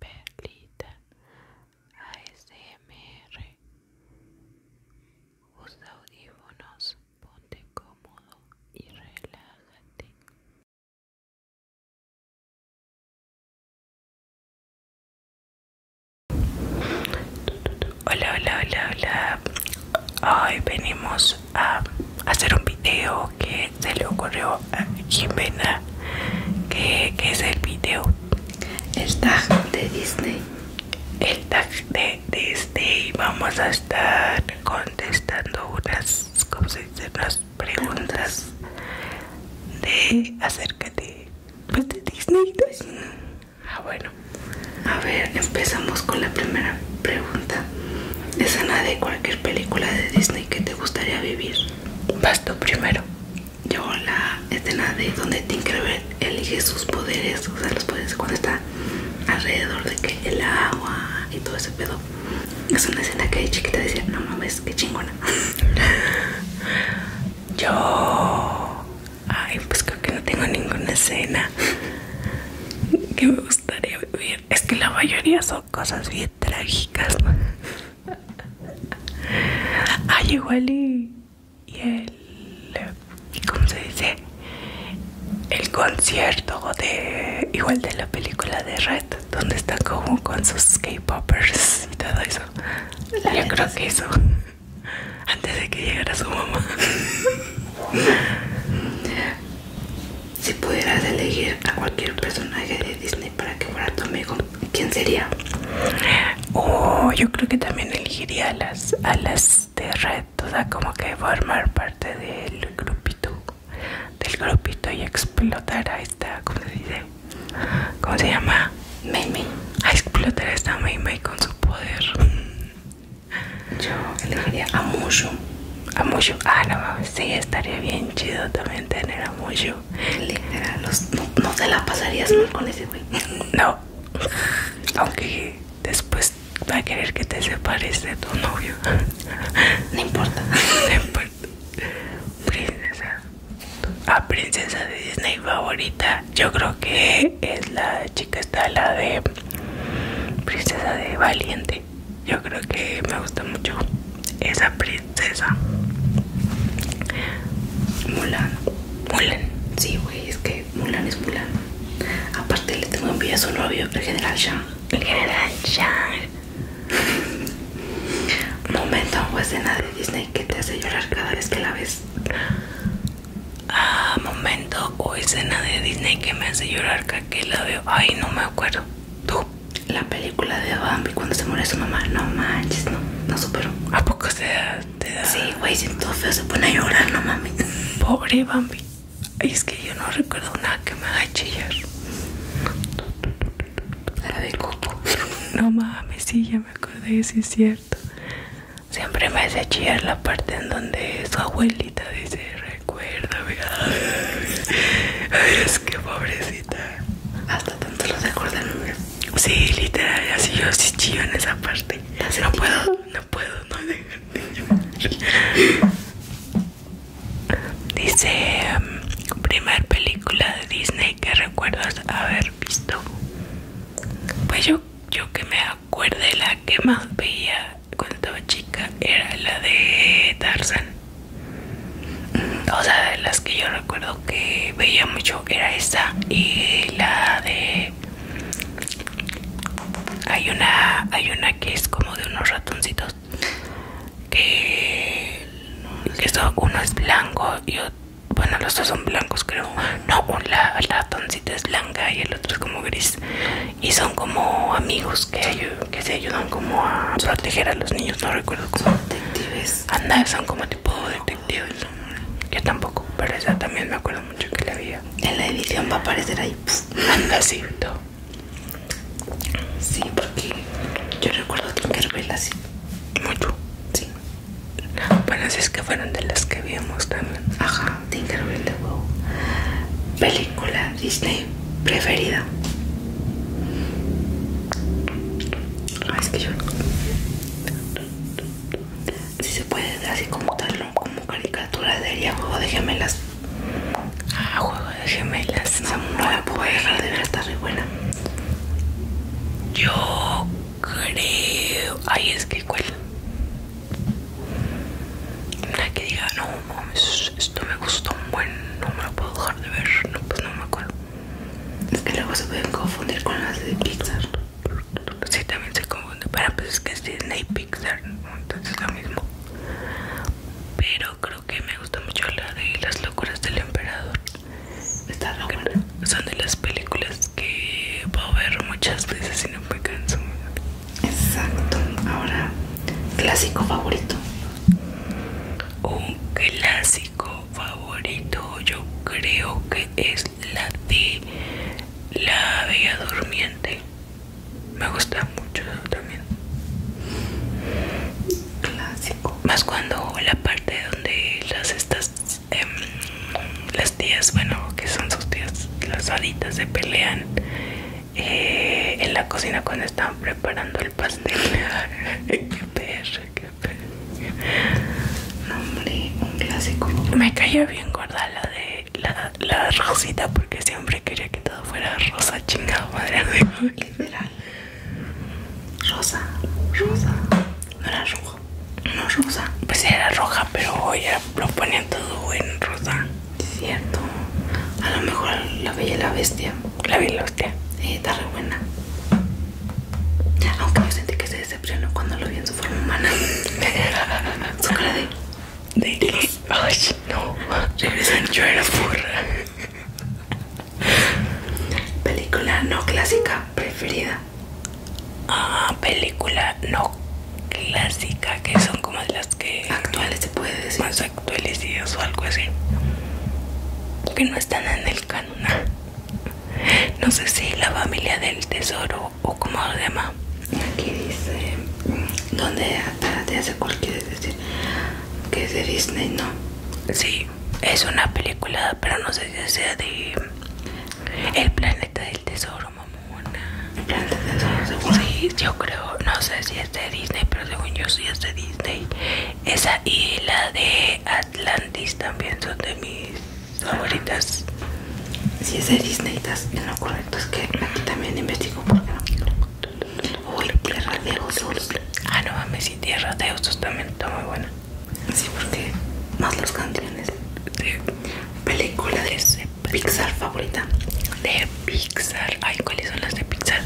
Perlita ASMR Usa audífonos, ponte cómodo y relájate. Hola, hola, hola, hola. Hoy venimos a hacer un video que se le ocurrió Jimena que, es el video el tag de Disney el tag de Disney vamos a estar contestando unas, Como se dice? unas preguntas de acerca de, pues, Disney pues. ah bueno a ver empezamos con la primera pregunta Ana de cualquier película de Disney que te gustaría vivir Vas primero. Yo la escena de donde Tinkerbell elige sus poderes, o sea, los poderes cuando está alrededor de que el agua y todo ese pedo. Es una escena que hay chiquita decía, no mames, qué chingona. Yo... Ay, pues creo que no tengo ninguna escena que me gustaría vivir. Es que la mayoría son cosas bien trágicas. Ay, igual y, el. ¿Cómo se dice? El concierto de. Igual de la película de Red, donde está como con sus K-Poppers y todo eso. Yo creo que eso. Antes de que llegara su mamá. Si pudieras elegir a cualquier personaje de Disney para que fuera tu amigo, ¿quién sería? Oh, yo creo que también elegiría a las, a las de red, o sea, como que formar parte del grupito, del grupito y explotar a esta, ¿cómo se dice? ¿Cómo se llama? Mimi. A explotar a esta Mimi con su poder. Yo elegiría a Mushu a Ah, no sí, estaría bien chido también tener a Mushu. no, te la pasarías mal con ese güey. No, aunque después va a querer que te separes de tu novio. No importa. No importa. Princesa. a ah, princesa de Disney favorita. Yo creo que es la chica, está la de. Princesa de Valiente yo creo que me gusta mucho esa princesa Mulan Mulan sí güey es que Mulan es Mulan aparte le tengo envidia a su novio el general Shang el general Shang momento o escena de Disney que te hace llorar cada vez que la ves ah momento o escena de Disney que me hace llorar cada que la veo ay no me acuerdo la película de Bambi cuando se muere su mamá. No manches, no, no superó. ¿A poco se da? Sí, güey, feo se pone a llorar, no mames. Pobre Bambi. es que yo no recuerdo nada que me haga chillar. de No mames, sí, ya me acordé, es cierto. Siempre me hace chillar la parte en donde su abuelita dice, es que pobrecita. Hasta tanto los acuerdan. Sí, literal, así yo sí chillo en esa parte. No puedo, no puedo, no dejarte Dice, um, primer película de Disney que recuerdas haber visto. Pues yo, yo que me acuerde, la que más veía cuando chica era la de Tarzan. O sea, de las que yo recuerdo que veía mucho era esta y la de hay una hay una que es como de unos ratoncitos que, uno es blanco y bueno los dos son blancos creo no la, ratoncito es blanca y el otro es como gris y son como amigos que hay, que se ayudan como a proteger a los niños, no recuerdo cómo. Son detectives. Anda, son como tipo detectives. Yo tampoco, pero esa también me acuerdo mucho que la había. En la edición va a aparecer ahí. Anda, sí. Sí, porque yo recuerdo Tinkerbell así. Mucho. Sí. Bueno, si es que fueron de las que vimos también. Ajá, Tinkerbell de huevo. Película Disney preferida? Ah, es que yo si se puede así como tal como caricatura ella, juego de gemelas ah juego de gemelas no, la puedo dejar de ver está re buena yo creo ay es que cuál una que diga no esto me gustó un buen, no me lo puedo dejar de ver, no, pues no me acuerdo. Es que luego se pueden confundir con las de Pixar. Sí, también se confunde, pero pues es que es Disney y Pixar, entonces es lo mismo. Pero creo que me gusta mucho la de las locuras del emperador. Está locuras Son de las películas que puedo ver muchas veces y no me canso. Exacto. Ahora, clásico favorito. Un clásico favorito yo creo que es la de la Bella Durmiente. Me gusta mucho eso también. Clásico. Más cuando la parte donde las estas em, las tías, bueno, que son sus tías, las haditas se pelean eh, en la cocina cuando estaban preparando el pastel. qué perra, qué perro nombre un clásico. Me cayó bien gorda la de la, rosita porque siempre quería que todo fuera rosa, chingada madre. Literal. Rosa, rosa. No era roja No rosa. Pues era roja, pero voy lo ponían todo en rosa. Cierto. A lo mejor la vi la bestia. La vi en la bestia. está re buena. Aunque yo sentí que se decepcionó cuando lo vi en su forma humana. de. no. Regresan, yo la furra Película no clásica preferida. Ah, película no clásica, que son como de que actuales se puede decir más actuales o algo así que no están en el canon no sé si la familia del tesoro o como lo llama aquí dice donde te hace cualquier decir que es de Disney no sí es una película pero no sé si sea de el planeta del tesoro mamona el tesoro yo creo no sé si de Disney, pero según yo sí es de Disney. Esa y la de Atlantis también son de mis favoritas. Si es de Disney, estás lo correcto. Es que aquí también investigo porque no. Uy, Tierra de Osos. Ah, no mames, si Tierra de Osos también está muy buena. Sí, porque más los canciones. De película de Pixar favorita. De Pixar. Ay, ¿cuáles son las de Pixar?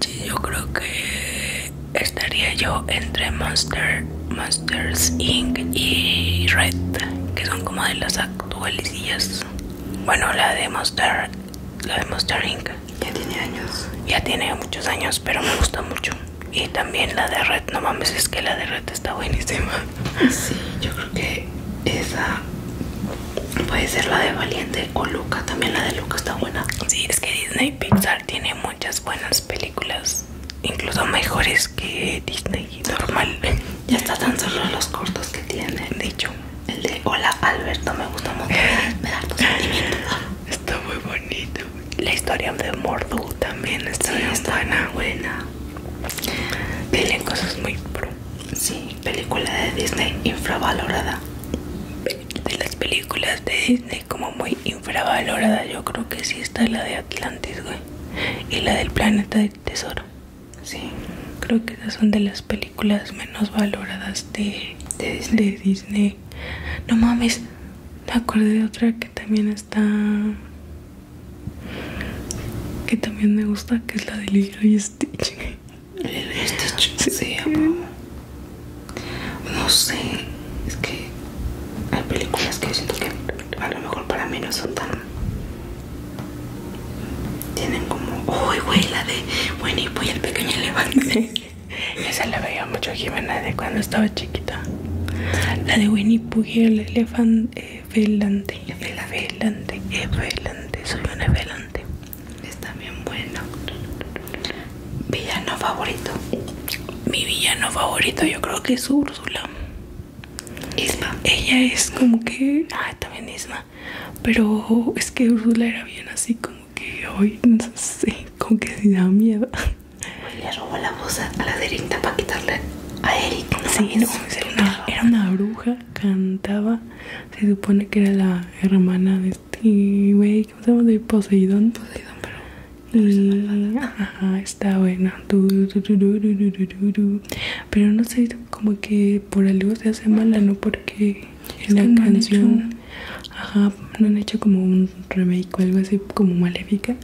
Sí, yo creo que estaría yo entre Monster, Monsters Inc. y Red, que son como de las actuales. Bueno, la de Monster, la de Monster Inc. Ya tiene años. Ya tiene muchos años, pero me gusta mucho. Y también la de Red, no mames, es que la de Red está buenísima. Sí, yo creo que esa Puede ser la de Valiente o Luca. También la de Luca está buena. Sí, es que Disney Pixar tiene muchas buenas películas. Incluso mejores que Disney normal. Ya está tan solo los cortos que tiene. Dicho. El de Hola Alberto me gusta mucho. Me da tu sentimiento. Está muy bonito. La historia de Mordu también está, buena. buena. cosas muy Sí, película de Disney infravalorada. De las películas de Disney como muy infravalorada, yo creo que sí está la de Atlantis, güey. Y la del planeta del tesoro. Sí, creo que esas son de las películas menos valoradas de, Disney. No mames, me acordé de otra que también está... Que también me gusta, que es la de Lilo y Stitch. Este No sé, es que hay películas que yo siento que a lo mejor para mí no son tan. Tienen como. Uy, güey, la de Winnie y el pequeño elefante. Esa la veía mucho Jimena de cuando estaba chiquita. La de Winnie Pooh y el eh, elefante el velante delante eh, soy una velante Está bien bueno. Villano favorito. Mi villano favorito yo creo que es Úrsula. Isma. Ella es como que... Ah, también Isma. Pero es que Úrsula era bien así como que hoy, no sé, como que si da miedo. Le robó la voz a la derita para quitarle a Eric. sí, era una bruja, cantaba se supone que era la hermana de este güey, ¿cómo De Poseidón. Poseidón, pero. ajá, está buena. Pero no sé, como que por algo se hace mala, ¿no? Porque en la canción. Ajá, no han hecho como un remake o algo así, como maléfica.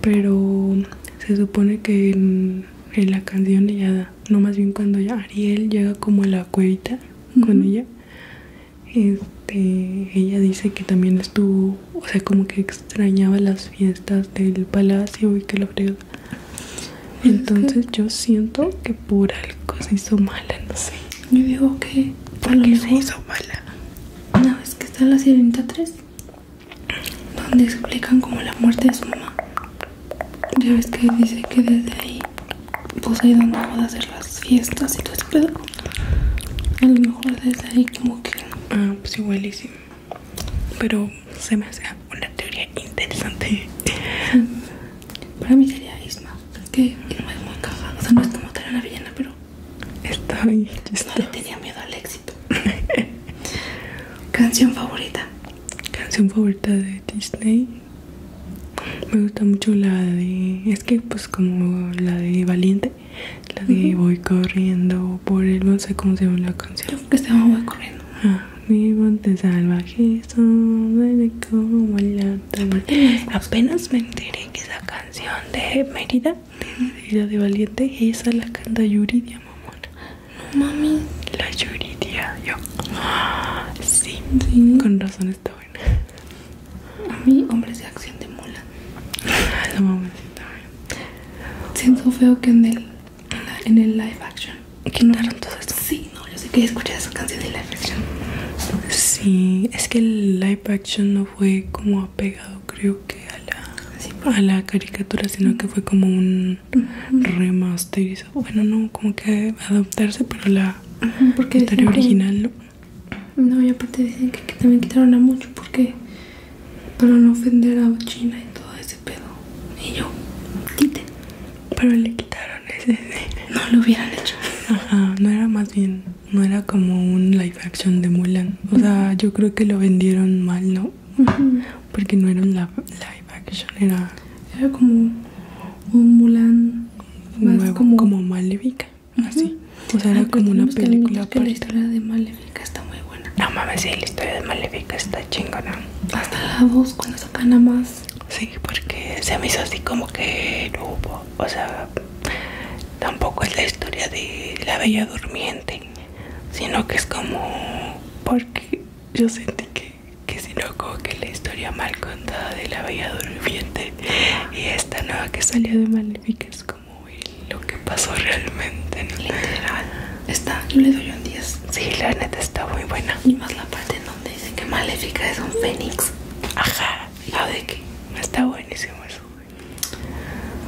Pero se supone que en, la canción ella no más bien cuando Ariel llega como a la cuevita con ella, este, ella dice que también estuvo, o sea, como que extrañaba las fiestas del palacio y que lo fregó. Pues Entonces yo siento que por algo se hizo mala, no sé. Yo digo que por algo se hizo mala. Una vez que está la 73 donde explican como la muerte de su mamá. Ya ves que dice que desde ahí pues ahí donde vas hacer las fiestas y todo eso, pedo. A lo mejor desde ahí como que... Ah, pues igualísimo Pero se me hace una teoría interesante. Para mí sería Isma. Que no es muy O sea, no es como tener una villana, pero... estoy No tenía miedo al éxito. Canción favorita. Canción favorita de Disney. Me gusta mucho la de. Es que, pues, como la de Valiente, la de Voy corriendo por el. No sé cómo se llama la canción. que se Voy corriendo. Ah, mi monte salvaje, como Apenas me enteré que esa canción de Mérida, de, de, de Valiente, esa la canta Yuri de mamona. No Mami, la lloriría yo. Sí, sí, con razón está buena. A mí, hombres de acción de mula. La mames. está Siento feo que en el, en, el live action. Quitaron narran todo esto. Sí, no, yo sé que escuché esa canción de live action. Sí, es que el live action no fue como apegado, creo que, a la, a la caricatura, sino que fue como un Remasterizó, bueno no, como que adaptarse pero la porque original no y aparte dicen que, también quitaron a mucho porque para no ofender a China y todo ese pedo y yo, quité, pero le quitaron ese no lo hubieran hecho Ajá, no era más bien, no era como un live action de Mulan O sea, yo creo que lo vendieron mal, ¿no? porque no era un live action, era, como un Mulan más como, como así. O sea, era ah, como una película Pero La historia de Malévica está muy buena. No mames, sí, la historia de Malévica está chingona. Hasta la voz cuando sacan más. Sí, porque se me hizo así como que no hubo. O sea, tampoco es la historia de la Bella Durmiente, sino que es como. Porque yo sentí que que si loco que la historia mal contada de la bella durmiente y esta nueva que salió de Maléfica es como lo que pasó realmente literal está yo le doy un 10 Si la neta está muy buena y más la parte en donde dice que Maléfica es un fénix ajá la ah, de que está buenísimo eso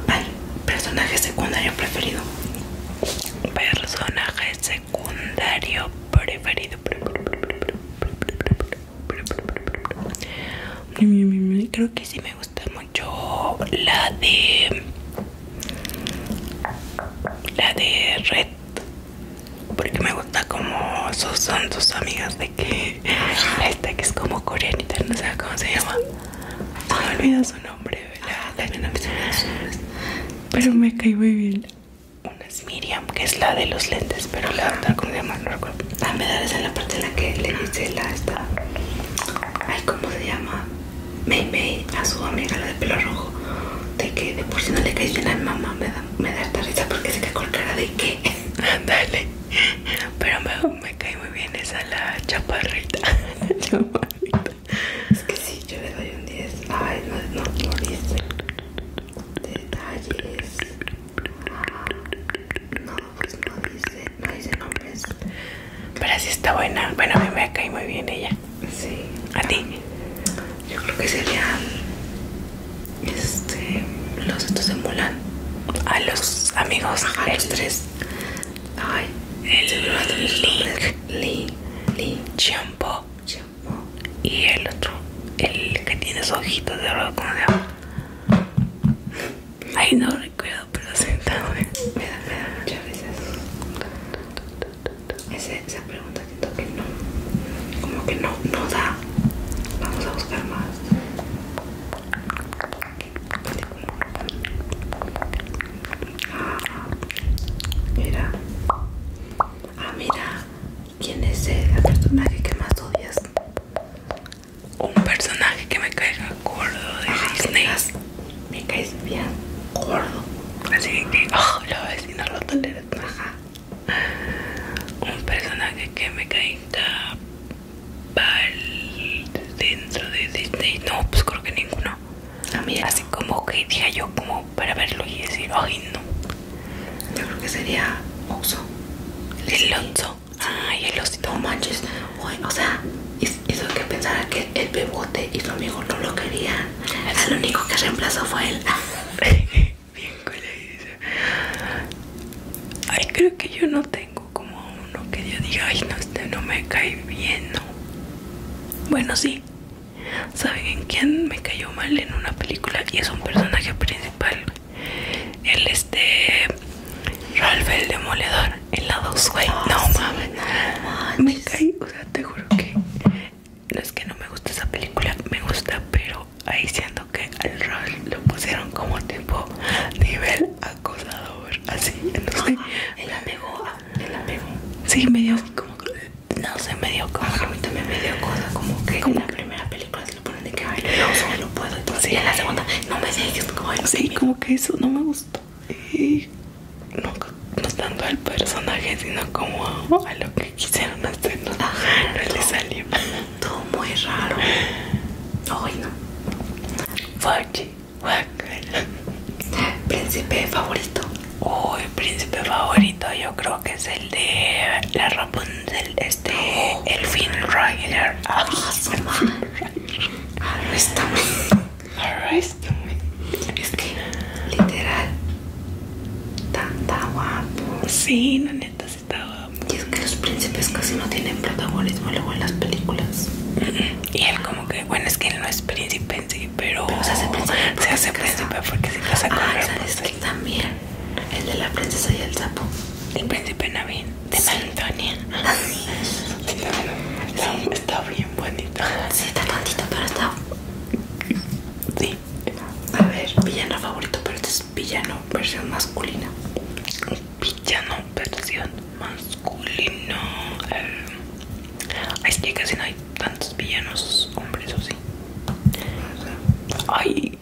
ay personaje secundario preferido personaje secundario preferido mm, creo que sí me gusta mucho la de la de red porque me gusta como sus, son sus amigas de que esta que es como coreanita no sé cómo se llama me olvida su nombre pero me caí muy bien una Miriam que es la de los lentes pero la otra como se llama ah, me da esa la parte en la que le dice la esta ay cómo se llama May May a su amiga la de pelo rojo de que de por si no le caes bien a mamá me da, esta risa porque se cae con cara de que Dale, pero me, me cae muy bien esa la la chaparrita. Es que sí, yo le doy un 10. Ay, no, no, no dice. Detalles. Ah, no, pues no dice. No dice nombres. Pero sí está buena. Bueno, a mí me cae muy bien ella. Sí. ¿A ti? Yo creo que serían. Este. Los estos de Mulan. A los amigos. Ajá, los tres. Ay, el, el Li, Li, Champo Y el otro, el que tiene esos ojitos de oro, ¿cómo se Ay, no recuerdo, pero sentado. Me da, me da muchas veces. esa pregunta siento que no. Como que no, no da. Vamos a buscar más. Mira. Ah, mira. ¿Quién es el personaje que más odias? Un personaje que me caiga gordo de Disney. me caes bien gordo. Así que, oh, la no lo toleras Ajá. Un personaje que me caiga dentro de Disney. No, pues creo que ninguno. Ah, Así como que dije yo, como para verlo y decir, ay no. Yo creo que sería Oxo. El Lonzo. Ay, el osito. No manches. o sea, hizo que pensara que el bebote y su amigo no lo querían. El ah, único que reemplazó fue él. Bien Ay, creo que yo no tengo como uno que yo diga, ay, no, este no me cae bien, Bueno, sí, ¿Saben en quién me cayó mal en una película? Y es un personaje principal. El este. Ralph el Demoledor. El lado 2 no mames. me caí. O sea, te juro que. No es que no me gusta esa película. Me gusta, pero ahí siento que al Ralph lo pusieron como tipo nivel acosador. Así. Entonces. él la Sí, me dio como no sé, me dio como a mí también me dio cosa como que en la primera película se lo ponen de que no, no puedo entonces en la segunda no me dejes como sí, como que eso no me gustó y no, no tanto al personaje sino como a, lo que quisieron hacer no, le salió todo muy raro ay no Príncipe favorito. Uy, príncipe favorito, yo creo que es el de la Rapunzel, este, el Finn Rider. Ah, ah, es que, literal, tan guapo. Sí, la neta está guapo. Y es que los príncipes casi no tienen protagonismo luego en las películas. Y él como que, bueno, es que él no es príncipe en sí pero, se hace príncipe, se hace porque se pasa ah, ¿sabes que también? El de la princesa y el sapo. El príncipe Navin de Santonia. Ah, está, bien bonito. Sí, está tantito, pero está. Sí. A ver, villano favorito, pero este es villano versión masculina. Villano versión masculina. Eh, y es que casi no hay tantos villanos hombres o sí. Ay,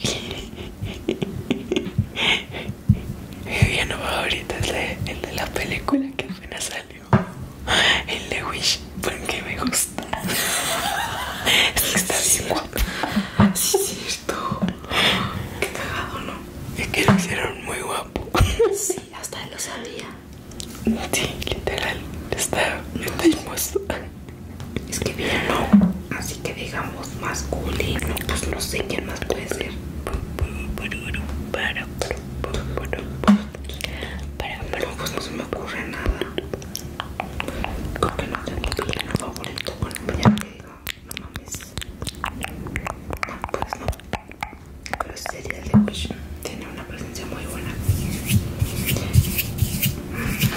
mi villano favorito es el, de la película que apenas salió. El de Wish, porque me gusta. Es que está bien guapo. Sí, es cierto. Qué pegado, ¿no? Es que lo hicieron muy guapo hasta él lo sabía. Sí, literal, está, me hermoso. Es que bien, no, así que digamos masculino, pues no sé quién más puede ser. Para, pero pues no se me ocurre nada. Creo que no tengo villano favorito con el villano que digo, no mames. No, ah, pues no pero de tiene una presencia muy buena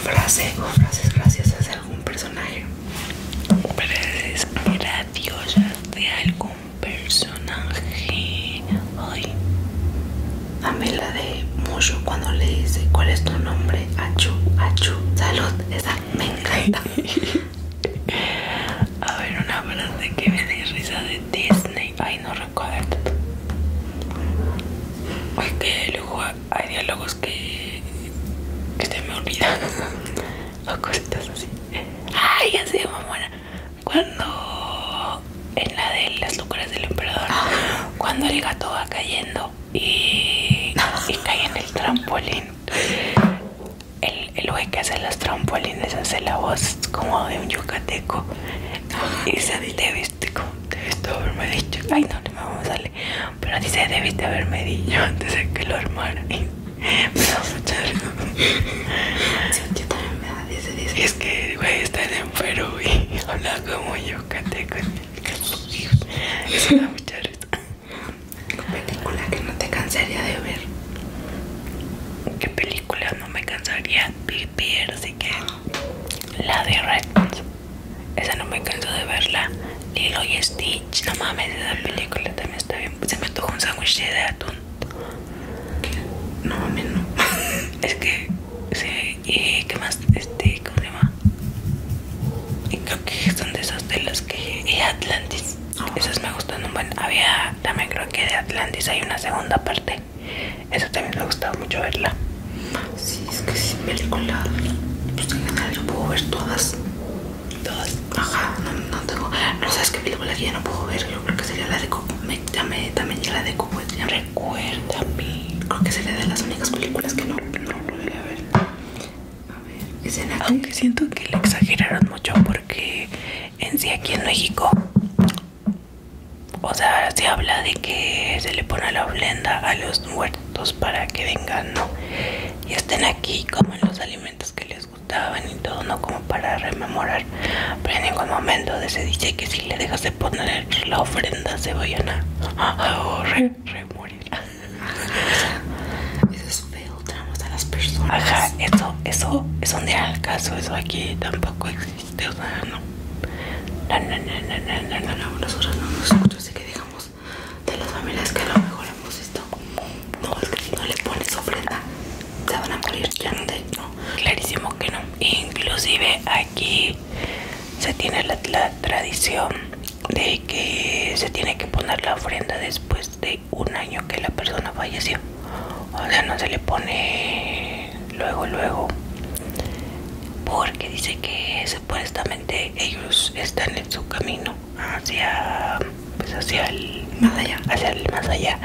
frase o frases graciosas de algún personaje frases graciosas de algún personaje hoy Dame la de Mucho cuando le dice cuál es tu nombre, Achu, Achu, salud, esa me encanta. A ver, una frase que me dé risa de Disney. Ay, no recuerdo. Ay, qué luego Hay diálogos que, que se me olvidan. o cositas así. Ay, ya de mamona. Cuando. En la de las luces del emperador. Cuando el gato va cayendo y, y cae en el trampolín el, el güey que hace las trampolines hace la voz como de un yucateco y dice debiste como debiste haberme dicho ay no no vamos a darle pero dice debiste haberme dicho antes de que lo armara y me da me es que güey está en Perú y habla como yucateco eso da mucha risa película que no te cansaría de ver ¿Qué película? no me cansaría vivir, así que la de Redmond. Esa no me canso de verla. Lilo y Stitch, no mames, esa película también está bien. Se me tocó un sándwich de atún. No mames, no. es que, sí, y qué más, este, ¿cómo se llama? Y creo que son de esas de las que. Y Atlantis. Esas me gustan un buen. Había también creo que de Atlantis hay una segunda parte. Esa también me ha gustado mucho verla. Sí, es que sin película, pues yo puedo ver todas. Todas. Ajá, no, tengo. No sabes qué película que ya no puedo ver. creo que sería la de Coco. También, también ya la de Coco. mí. Creo que sería de las únicas películas que no, no a ver. A ver, Aunque siento que le exageraron mucho porque en sí aquí en México o sea se habla de que se le pone la ofrenda a los muertos para que vengan ¿no? y estén aquí como en los alimentos que les gustaban y todo no como para rememorar pero en ningún momento se dice que si le dejas de poner la ofrenda se vayan a, morir eso es feo adulteramos a las personas. Ajá, eso, eso, eso no era caso, eso aquí tampoco existe, o sea, no. No, no, no, no, no, no, no, nosotros no así que digamos de las familias que a lo mejor hemos No, es que si no le pones ofrenda, se van a morir, ya no, clarísimo que no. Inclusive aquí se tiene la tradición de que se tiene que poner la ofrenda después de un año que la persona falleció o sea no se le pone luego luego porque dice que supuestamente ellos están en su camino hacia pues, hacia el más allá hacia el más allá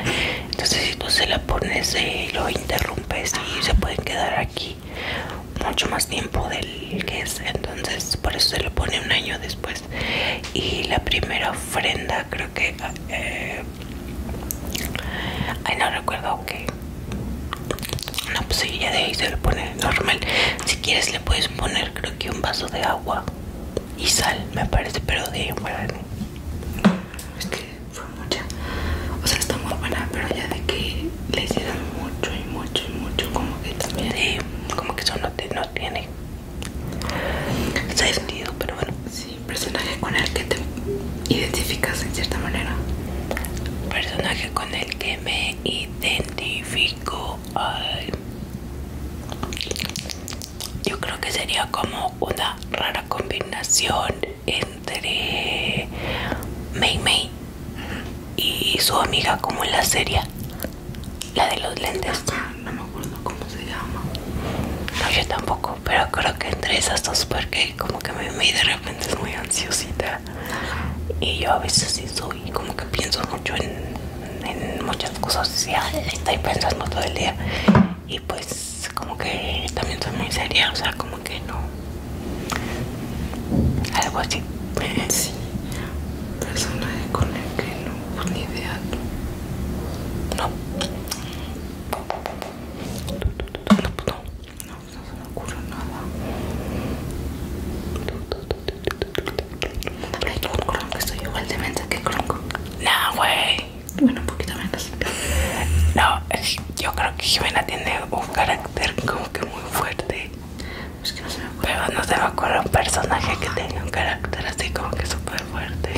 entonces si tú se la pones lo interrumpes y se pueden quedar aquí mucho más tiempo del que es entonces por eso se le pone un año después y la primera ofrenda creo que eh, ay no recuerdo que no pues sí, ya de ahí se le pone normal si quieres le puedes poner creo que un vaso de agua y sal me parece pero de ahí es que fue mucha o sea está muy buena pero ya de que le hicieron mucho y mucho y mucho como que también como que eso no tiene Está pero bueno. Sí, personaje con el que te identificas en cierta manera. Personaje con el que me identifico. Yo creo que sería como una rara combinación entre Mei Mei y su amiga como en la serie. La de los lentes. No me acuerdo cómo se llama. No, yo tampoco, pero creo que entre esas dos porque como que me, de repente es muy ansiosita. Y yo a veces sí soy, como que pienso mucho en, muchas cosas. Y estoy pensando todo el día. Y pues como que también soy muy seria, o sea, como que no. Algo así. Sí, persona con el que no ni idea No. No, no, no se me ocurre nada. estoy igual de mente que no No, güey. Bueno, un poquito menos. No, yo creo que Jimena tiene un carácter como que muy fuerte. Es que no se me ocurre. Pero no se me ocurre un personaje que tenga un carácter así como que super fuerte.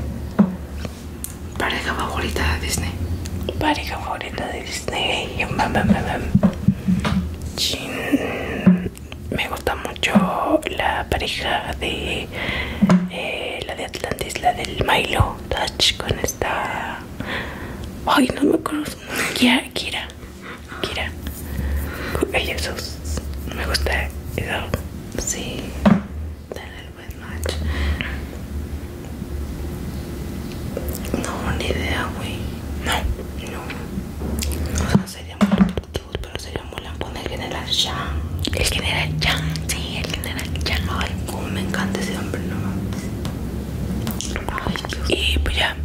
Pareja favorita de Disney. Pareja favorita de Disney. Me gusta mucho la pareja de eh, la de Atlantis, la del Milo Touch con esta. Ay, no me conozco ya Kira. Kira. Jesús, No Me gusta eso. Sí. No, ni idea, güey. No. No. O sería muy pero sería muy poner el general Chang El general Chang Sí, el general Chang Ay, como me encanta ese hombre, no Ay, Dios. Y pues ya.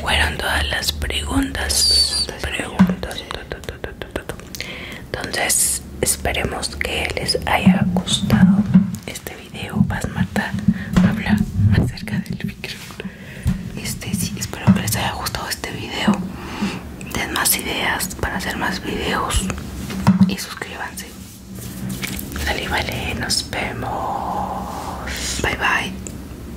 Fueron todas las preguntas. Preguntas. Entonces, esperemos que les haya gustado este video. Vas, Marta, habla acerca del micro este, espero que les haya gustado este video. Den más ideas para hacer más videos y suscríbanse. Dale, vale, nos vemos. Bye, bye.